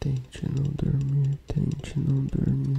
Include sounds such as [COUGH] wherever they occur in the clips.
Tente não dormir, tente não dormir.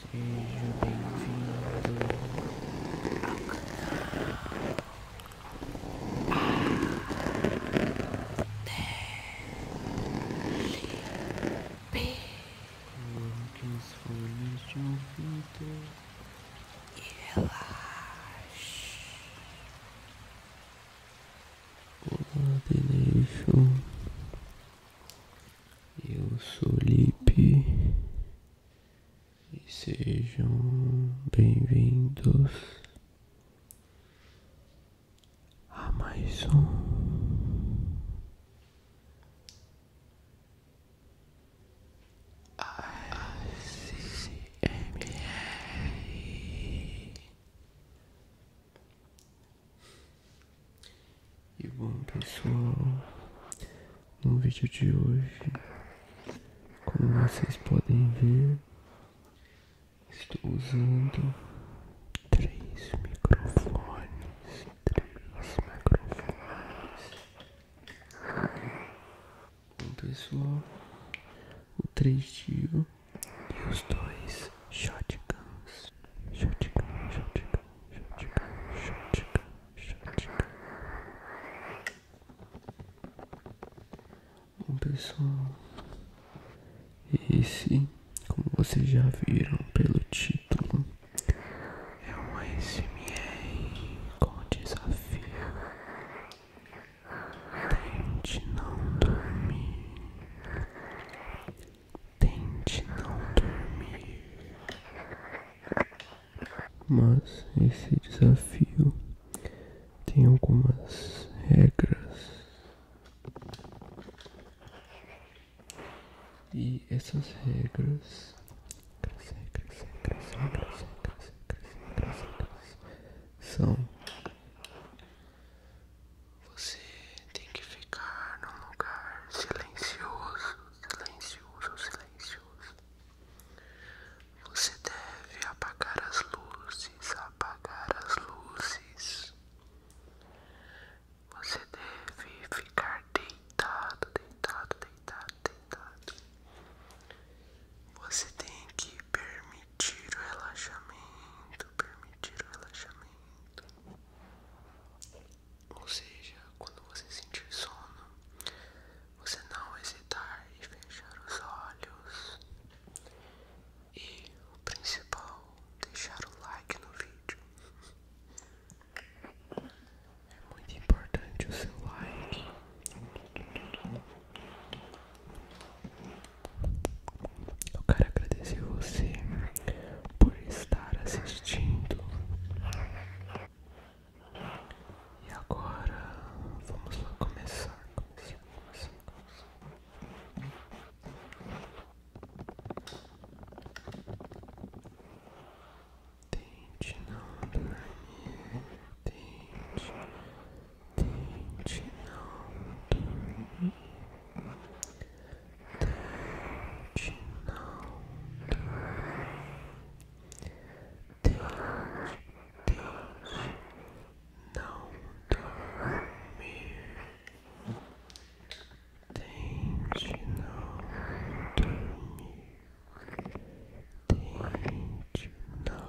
Seja bem-vindo ao canal ADP. Coloque as folhas de ouvido e relaxe. Olá, Deneixo. Eu sou Lipe e sejam bem-vindos a mais um ASMR e bom pessoal, no vídeo de hoje, como vocês podem ver, estou usando três microfones, três microfones. Bom pessoal, o 3 tio e os dois Shotguns, shotguns, shotguns, shotguns, shotguns, shotguns. Bom pessoal, esse, como vocês já viram pelo título, é um SMR com desafio. Tente não dormir. Tente não dormir. Mas esse desafio tem algumas regras. E essas regras são você tem que ficar num lugar silencioso, silencioso, silencioso. Você deve apagar as luzes, apagar as luzes. Você deve ficar deitado, deitado, deitado, deitado. Você tem que permitir o relaxamento, permitir o relaxamento. Ou seja, quando você sentir sono, você não hesitar e fechar os olhos. E o principal, deixar o like no vídeo. É muito importante o seu like. Eu quero agradecer você por estar assistindo. E agora vamos lá começar, Tente não dormir, tente, tente não dormir. Tente não dormir. Tente, tente não dormir. Tente não dormir. Tente não dormir.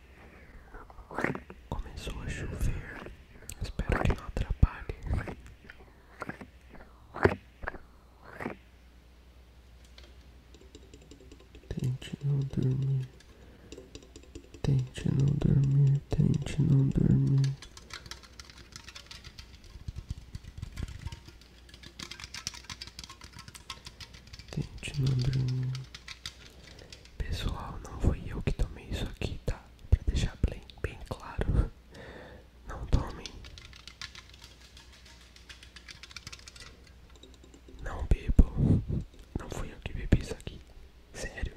Começou a chover. Espero que não atrapalhe. Tente não dormir. Tente não dormir. Tente não dormir. Tente não dormir. Pessoal, não fui eu que tomei isso aqui, tá? Pra deixar bem, bem claro. Não tomem. Não bebo. Não fui eu que bebi isso aqui. Sério.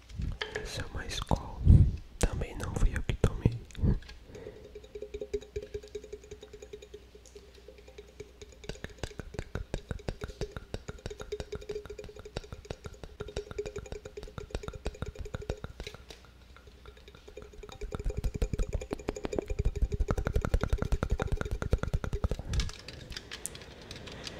Isso é uma escola. Também não fui eu que tomei.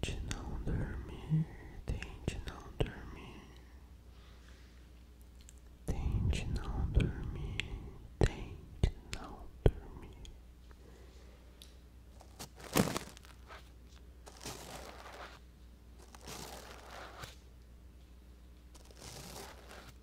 Tente não dormir, tente não dormir. Tente não dormir, tente não dormir.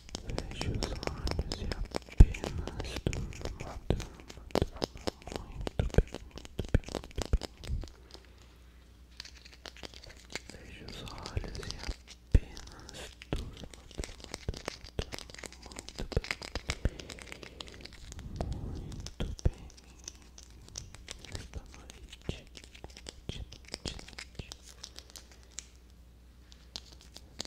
Feche os olhos e apenas durma, durma, durma muito bem, muito bem, muito bem. Feche os olhos e apenas durma, durma, durma, durma muito bem, muito bem. Esta noite, de noite, de noite.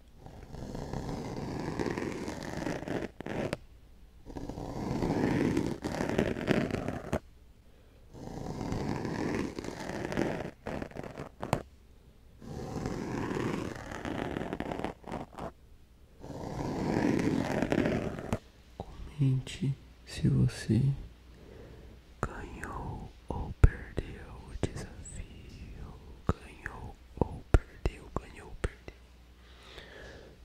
Comente se você ganhou ou perdeu o desafio, ganhou ou perdeu, ganhou ou perdeu.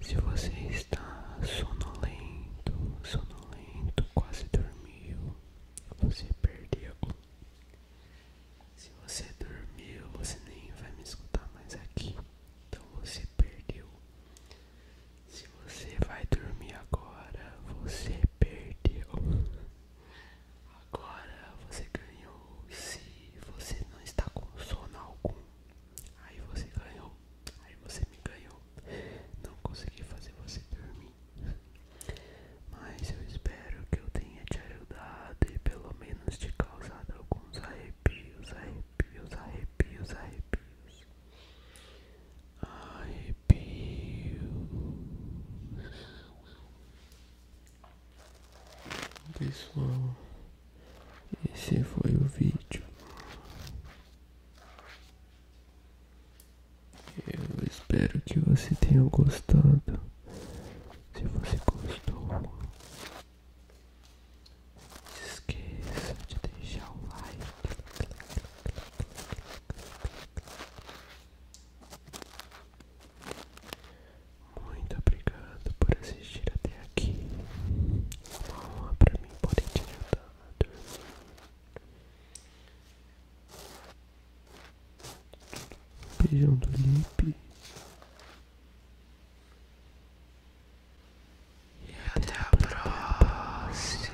Se você está sonolento, sonolento, quase dormiu, você perdeu. Se você dormiu, você nem vai me escutar mais aqui. Então você perdeu. Se você vai dormir agora, você perdeu. [LAUGHS] Agora você ganhou. Se você não está com sono algum, aí você ganhou. Aí você me ganhou. Não consegui fazer você dormir. Mas eu espero que eu tenha te ajudado e pelo menos te causado alguns arrepios, arrepios, arrepios, arrepios. Ai, arrepios. Pessoal, esse foi o vídeo. Eu espero que você tenha gostado. Se você gostou, esqueça de deixar o like. Muito obrigado por assistir até aqui. Uma honra pra mim poder te ajudar Beijão do Lipe. E até a próxima.